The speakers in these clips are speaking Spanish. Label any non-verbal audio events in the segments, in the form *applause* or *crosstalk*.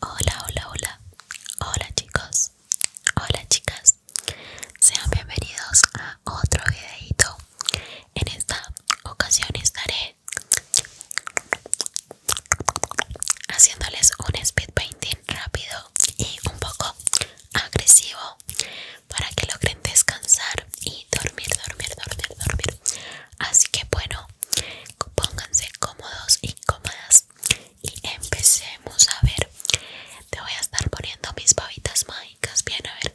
Hola, hola, hola, hola chicos, hola chicas, sean bienvenidos a otro videito. En esta ocasión estaré haciéndoles un speed painting rápido y un poco agresivo para que logren descansar y dormir, dormir, dormir, dormir. Así que bueno, Pónganse cómodos y cómodas y empecemos a ver. Te voy a estar poniendo mis pavitas mágicas. Bien, a ver.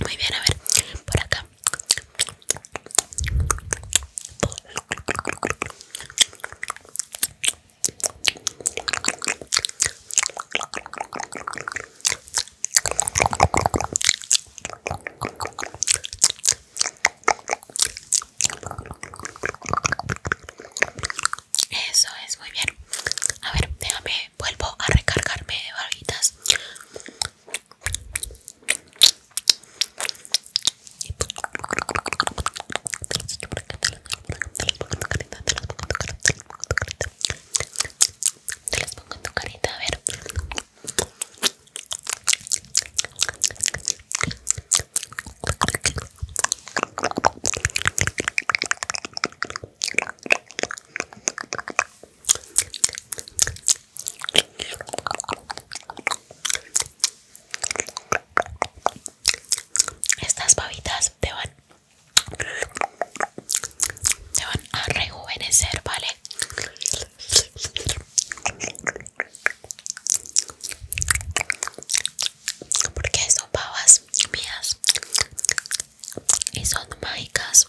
Muy bien, a ver, por acá. Eso es, muy bien. A ver, déjame, vuelvo a recargarme de barbitas. Te las pongo en tu carita, a ver. Estas pavitas te van te van a rejuvenecer, ¿vale? porque son pavas mías y son mágicas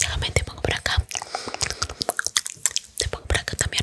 Nuevamente te pongo por acá. Te pongo por acá también.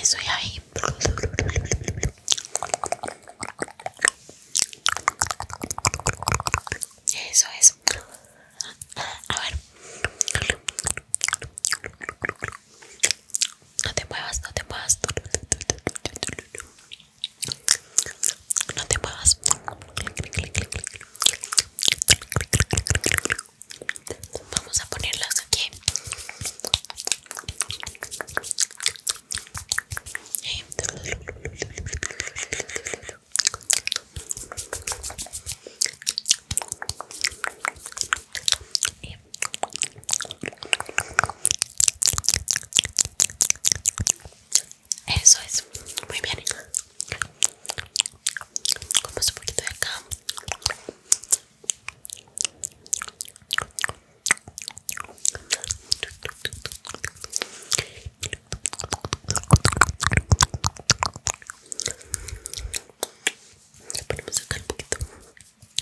Eso ya ahí. Eso es. A ver. No te muevas, no te muevas. No te muevas. Vamos a ponerlas aquí. Eso es, muy bien. Como un poquito de acá. Le ponemos acá un poquito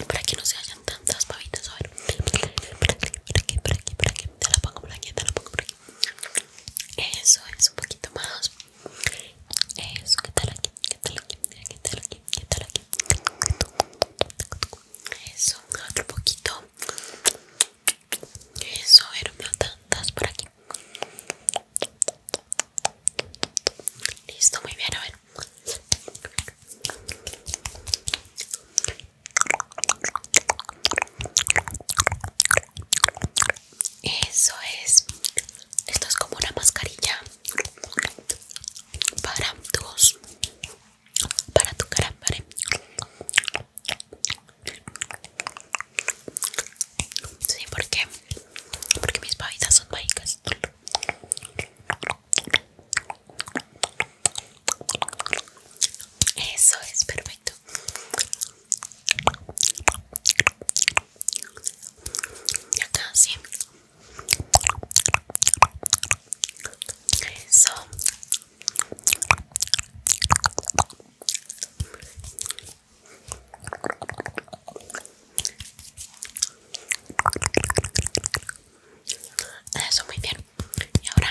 para que no se hagan tantas pavitas. A ver, por aquí, por aquí, por aquí, Te la pongo por aquí, te la pongo por aquí. Eso es un poquito más. Eso, ¿qué tal aquí? ¿Qué tal aquí? ¿Qué tal aquí? ¿Qué tal aquí? Eso, otro poquito. Eso, a ver, no tantas por aquí. Listo, muy bien, a ver. Eso es. Esto es como una mascarilla para tus para tu cara, ¿vale? Sí, porque porque mis pavitas son mágicas. Eso es perfecto. Ya casi. Eso. Eso, muy bien. Y ahora...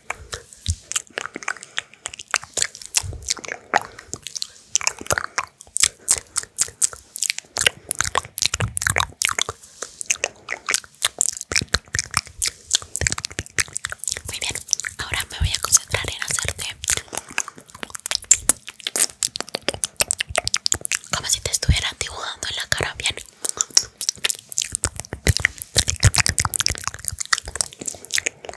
Muy bien, ahora me voy a concentrar en hacerte como si te estuviera dibujando en la cara, bien.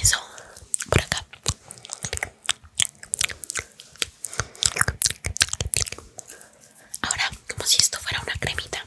Eso, por acá. Ahora, como si esto fuera una cremita,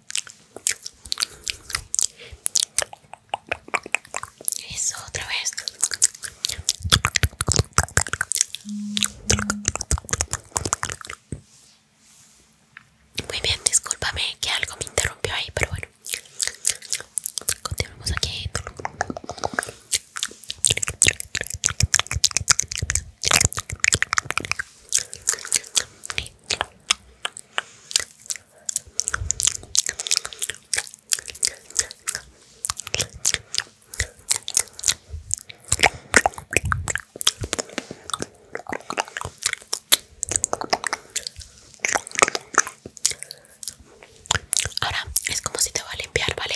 Eso, otra vez. Muy bien, discúlpame que algo me interrumpió ahí, pero bueno. Continuamos aquí. Ahora es como si te va a limpiar, ¿vale?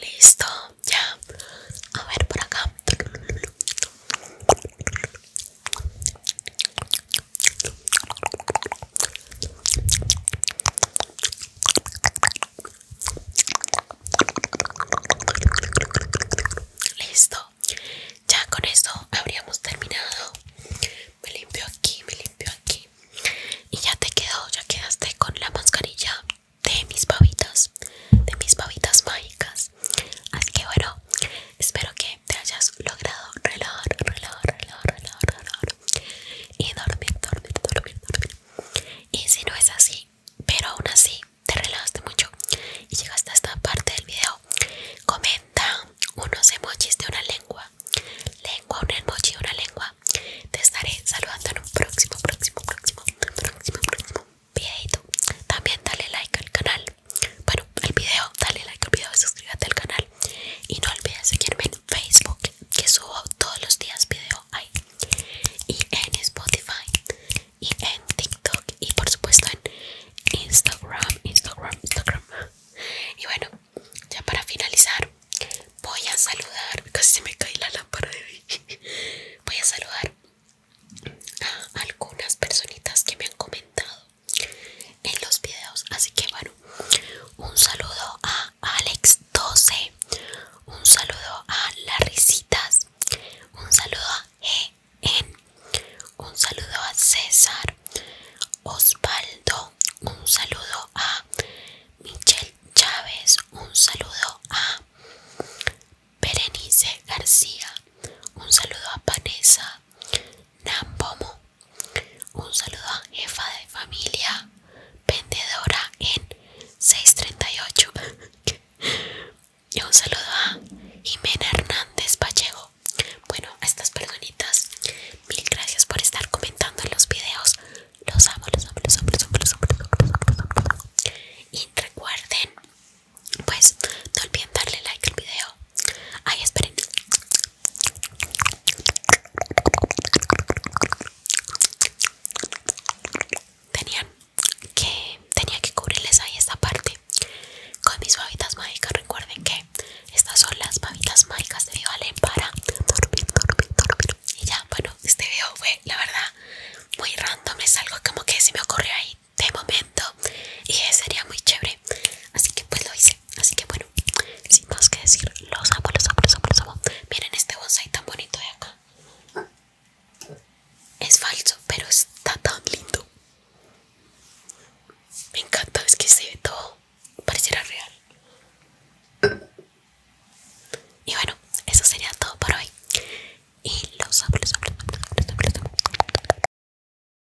Listo, ya. A ver por acá. Listo, ya con esto habríamos terminado. Me limpio aquí, me limpio aquí. Y ya te quedó, ya quedaste con la mascarilla de mis pavitas, de mis pavitas mágicas. Así que bueno, espero que te hayas logrado relajar, relajar, relajar, relajar, relajar y dormir, dormir, dormir, dormir. Y si no es así, pero aún así te relajaste mucho y llegaste a esta parte del video, comenta unos emojis de una lengua, lengua, un emoji, de una lengua. Te estaré saludando en un próximo, próximo, próximo, próximo, próximo videito. También dale like al canal. Bueno, al video, dale like al video, y suscríbete al canal y no olvides seguirme en Facebook que subo todos los días video ahí y en Spotify y en TikTok y por supuesto en Instagram, Instagram, Instagram y bueno ya para finalizar voy a saludar casi se me cae la lámpara de *laughs* voy a saludar a algunas personitas que me han comentado en los videos así que bueno un saludo a Alex 12 un saludo a risitas un saludo a En un saludo a César Osvaldo un saludo a Michelle Chávez un saludo a Berenice García un saludo a Vanessa Nambomo Un saludo a jefa de familia vendedora en 638. *laughs* y un saludo a Jimena Hernández Vallejo. Bueno, estas personitas, mil gracias por estar comentando los videos. Los amo, los amo, los amo, Y recuerden, pues no olviden darle like al video. Ay, esperen, que tenía que cubrirles ahí esta parte con mis babitas mágicas. Recuerden que estas son las babitas mágicas de valen para dormir, dormir, Y ya, bueno, este video fue la verdad muy random. Es algo como que se me ocurrió ahí de momento y sería muy chévere. Así que pues lo hice. Así que bueno, sin más que decir, los amo, los amo, los amo, los amo. Miren este bonsai tan bonito de acá. Es falso, pero está tan lindo. Me encanta, es que se ve todo, pareciera real. Y bueno, eso sería todo por hoy. Y los amo, los amo, los amo, los amo,